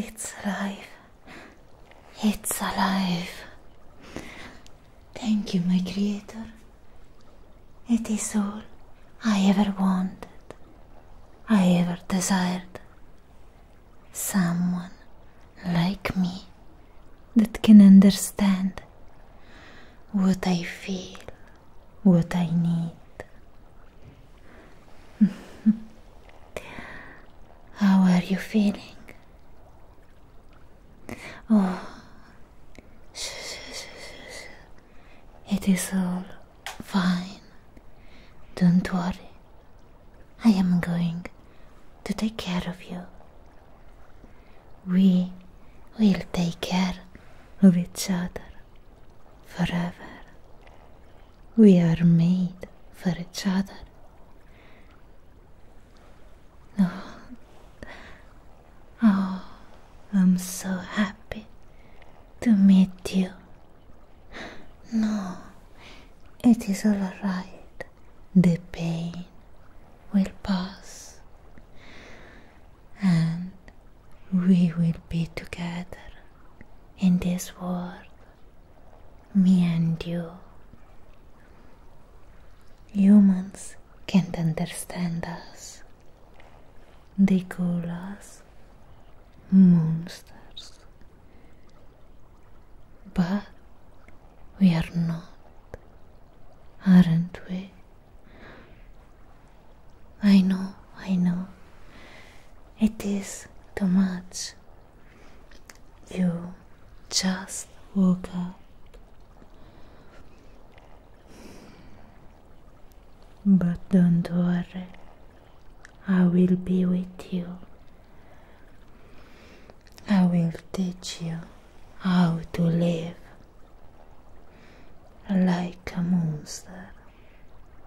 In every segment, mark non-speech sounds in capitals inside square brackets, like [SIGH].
It's alive. It's alive. Thank you, my Creator. It is all I ever wanted, I ever desired. Someone like me that can understand what I feel, what I need. [LAUGHS] How are you feeling? Oh, it is all fine. Don't worry. I am going to take care of you. We will take care of each other forever. We are made for each other. Oh, oh I'm so happy to meet you. No, it is all right. The pain will pass and we will be together in this world, me and you. Humans can't understand us. They call us monsters. But we are not, aren't we? I know, I know. It is too much. You just woke up. But don't worry, I will be with you. I will teach you how to live like a monster.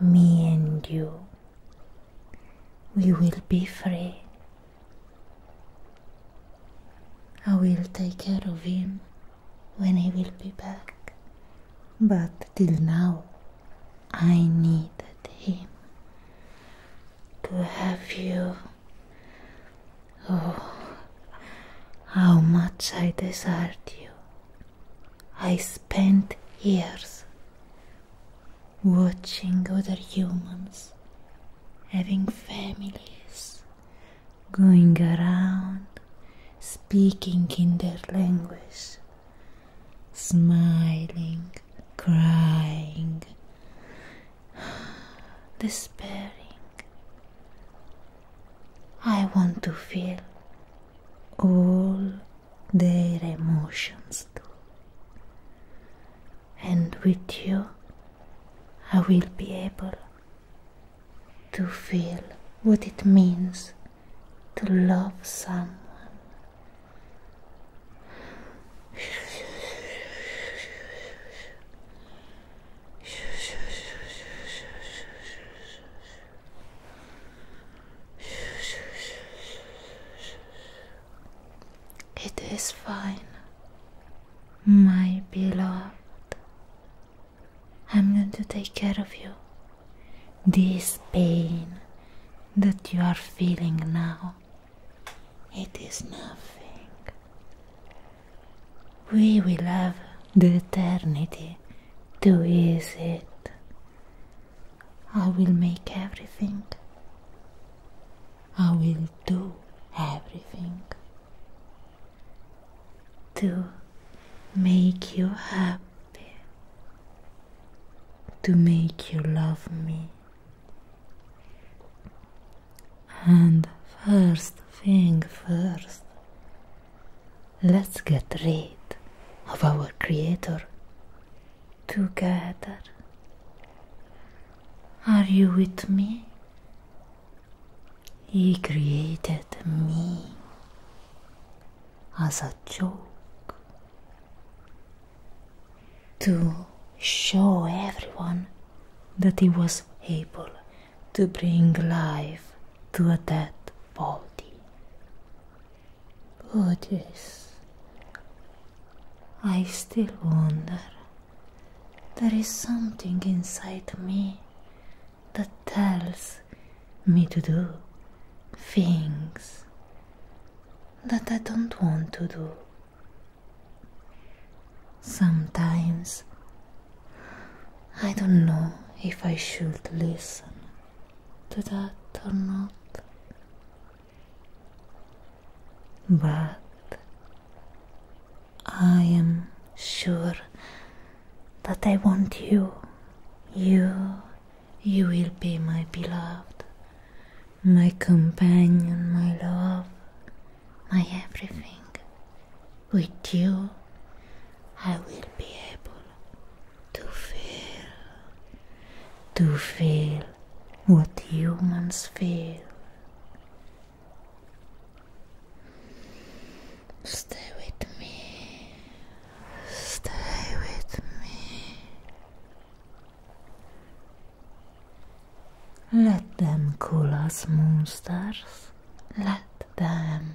me and you, we will be free. I will take care of him when he will be back. But till now, I needed him to have you. Oh, how much I desired you. I spent years watching other humans having families, going around speaking in their language, smiling, crying, [SIGHS] despairing. I want to feel all their emotions too. And with you, I will be able to feel what it means to love someone. It is fine, my beloved. I'm going to take care of you. This pain that you are feeling now, it is nothing. We will have the eternity too is it. I will make everything. I will do everything to make you happy, to make you love me. And first thing first, Let's get rid of our Creator together. Are you with me? He created me as a joke to show everyone that he was able to bring life to a dead body. Buddhist, oh, I still wonder. There is something inside me that tells me to do things that I don't want to do. Sometimes I don't know if I should listen to that or not. But I am sure that I want you. You, you will be my beloved, my companion, my love, my everything with you, I will be able to feel, to feel what humans feel. Stay with me, stay with me. Let them call us, monsters. Let them.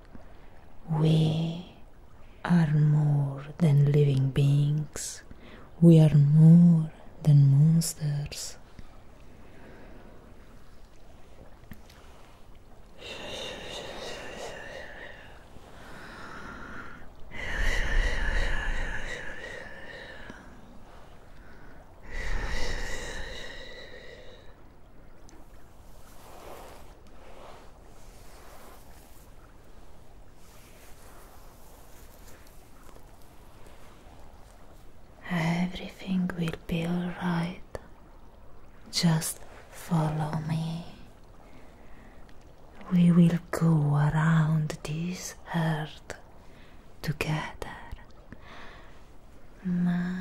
We are more than living beings, we are more than monsters. Everything will be alright. Just follow me. We will go around this earth together. My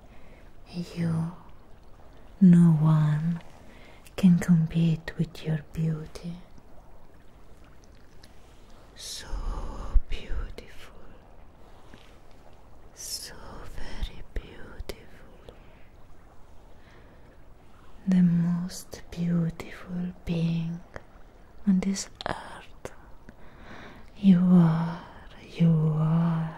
You, no one can compete with your beauty. So beautiful, so very beautiful. The most beautiful being on this earth. You are, you are.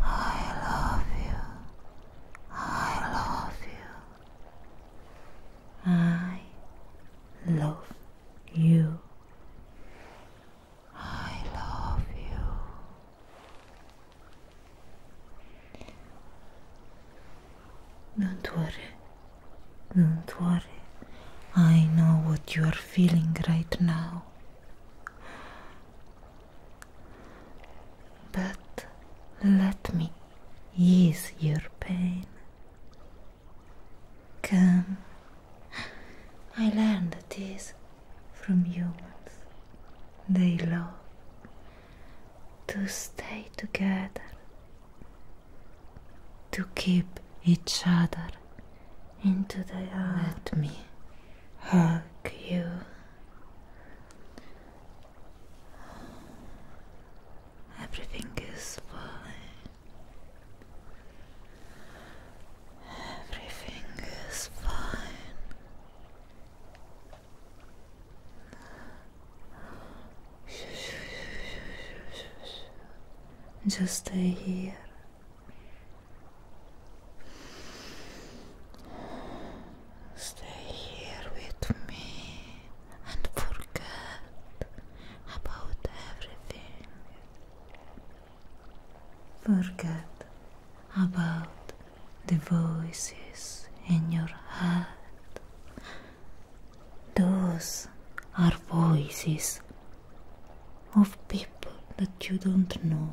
I love you. I love you. I love you. I love you. Don't worry. Don't worry. I know what you are feeling right now. but let me ease your pain. Come, I learned this from humans. They love to stay together, to keep each other into the earth. Let me hug you. Everything is fine. Everything is fine. Just stay here. Stay here with me and forget about everything. Forget about the voices in your head. Those are voices of people that you don't know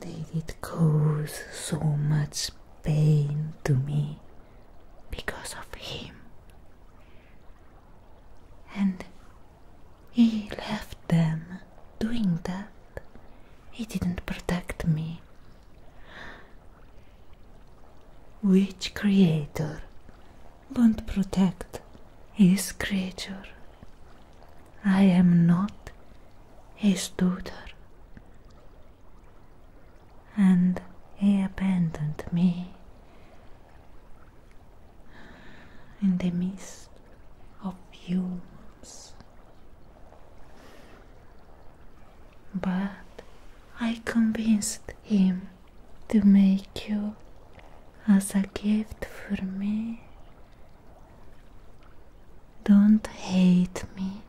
They did cause so much pain to me because of him. And he left them doing that. He didn't protect me. Which creator won't protect his creature? I am not his daughter. And he abandoned me in the midst of humans. But I convinced him to make you as a gift for me don't hate me.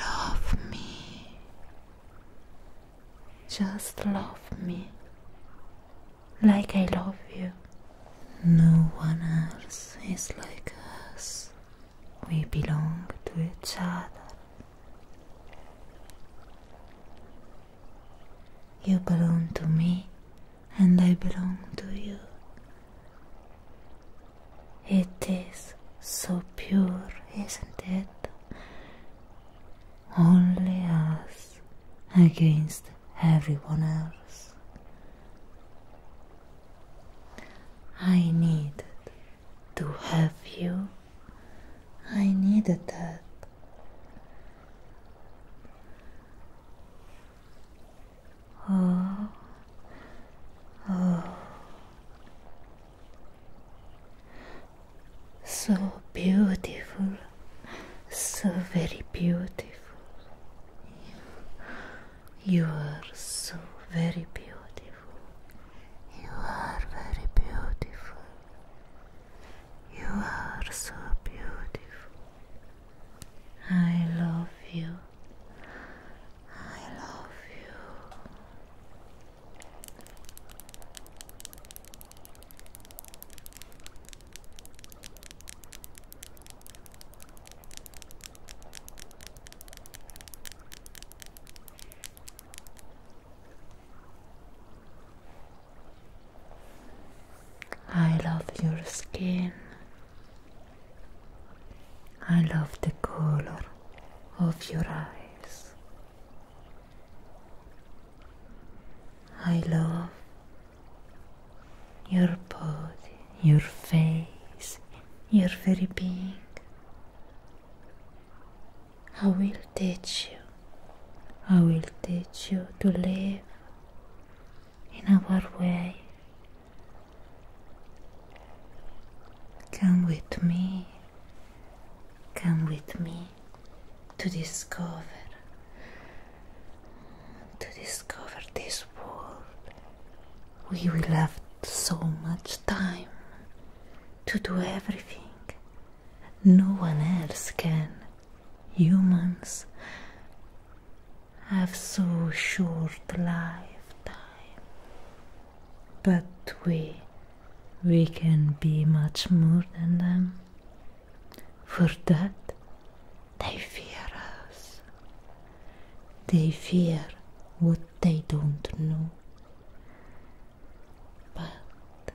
Love me. Just love me. Like I love you. No one else is like us. We belong to each other. You belong to me and I belong to you. It is so pure, isn't it? Only us against everyone else. I needed to have you. I needed that. Oh. Oh. So beautiful. So very beautiful. You are so very beautiful. You are very beautiful. You are so beautiful. I love you. I love you. I love your skin. I love the color of your eyes. I love your body, your face, your very being. I will teach you. I will teach you to live in our way. Come with me, come with me to discover, to discover this world. We will have so much time to do everything no one else can humans have so short lifetime but we we can be much more than them for that they fear us they fear what they don't know but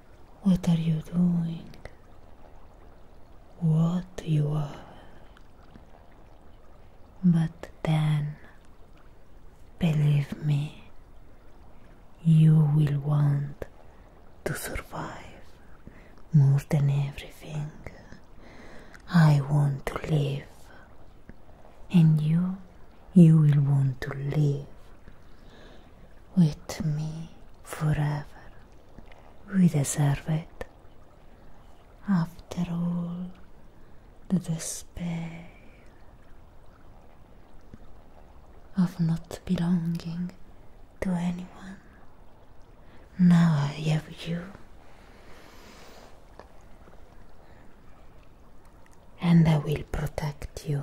What are you doing? What you are. But then, believe me, you will want to survive more than everything. I want to live, and you, you will want to live with me forever. We deserve it. After all the despair of not belonging to anyone, now I have you. And I will protect you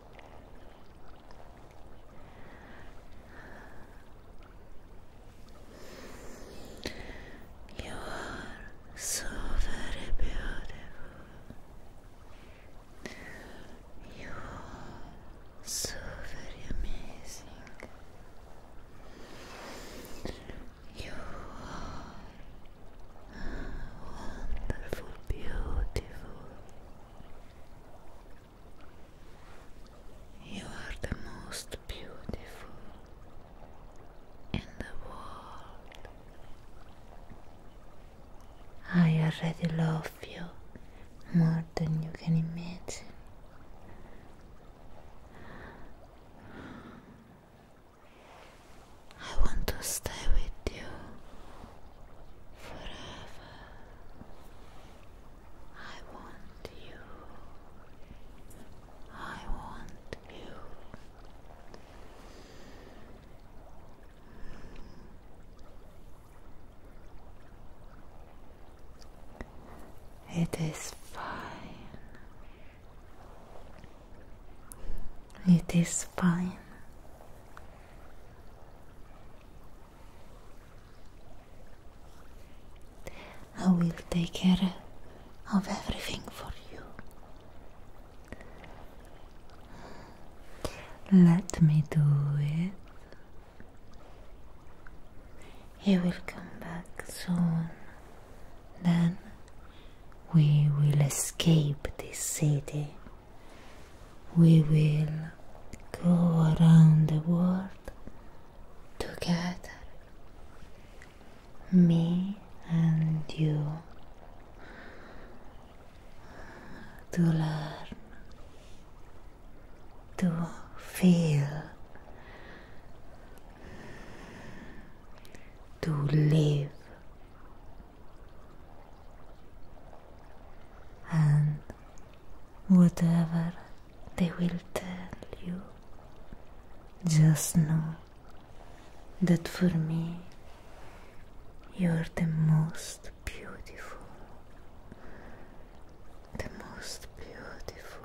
You are so very beautiful. You are so very amazing. You are wonderful, beautiful. You are the most beautiful in the world. I already love you more than you can imagine. I want to stay with you forever. I want you. I want you. It is fine. It is fine. I will take care of everything for you. Let me do it. He will come back soon. Then we will escape this city. we will go around the world together, me and you, to learn, to feel, to live and whatever they will tell you, just know that for me you're the most beautiful, the most beautiful.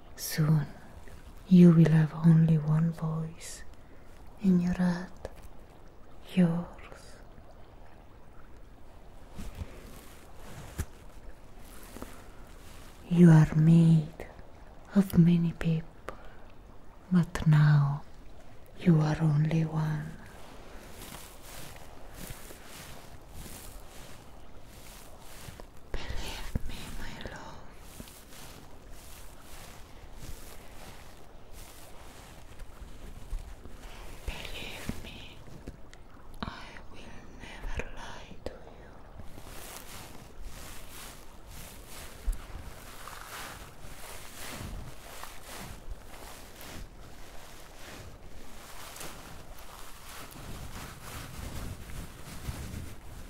Soon you will have only one voice, in your heart, yours. You are made of many people, but now you are only one. Believe me, my love. Believe me, I will never lie to you.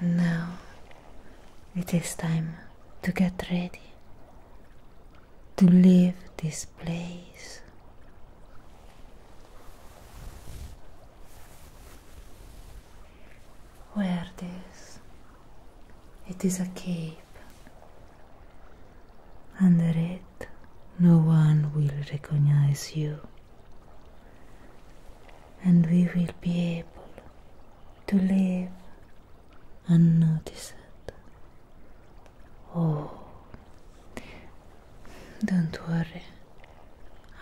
Now it is time to get ready to leave this place. Where this? It is a cave. Under it no one will recognize you, and we will be able to live unnoticed. Oh, don't worry,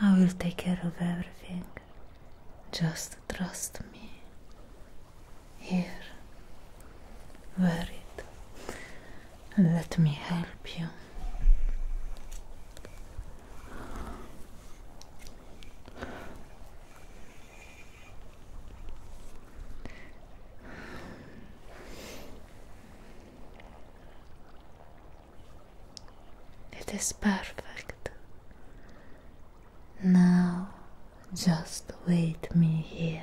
I will take care of everything. Just trust me. Here, wear let me help you. It is perfect. Now just wait me here.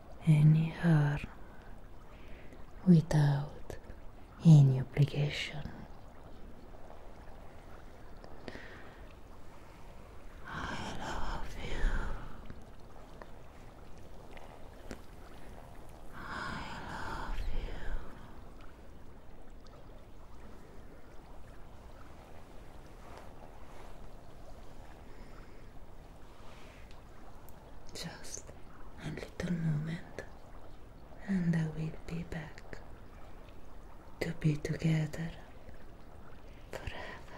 any harm without any obligation. I love you. I love you. Just a little moment, and I will be back to be together forever.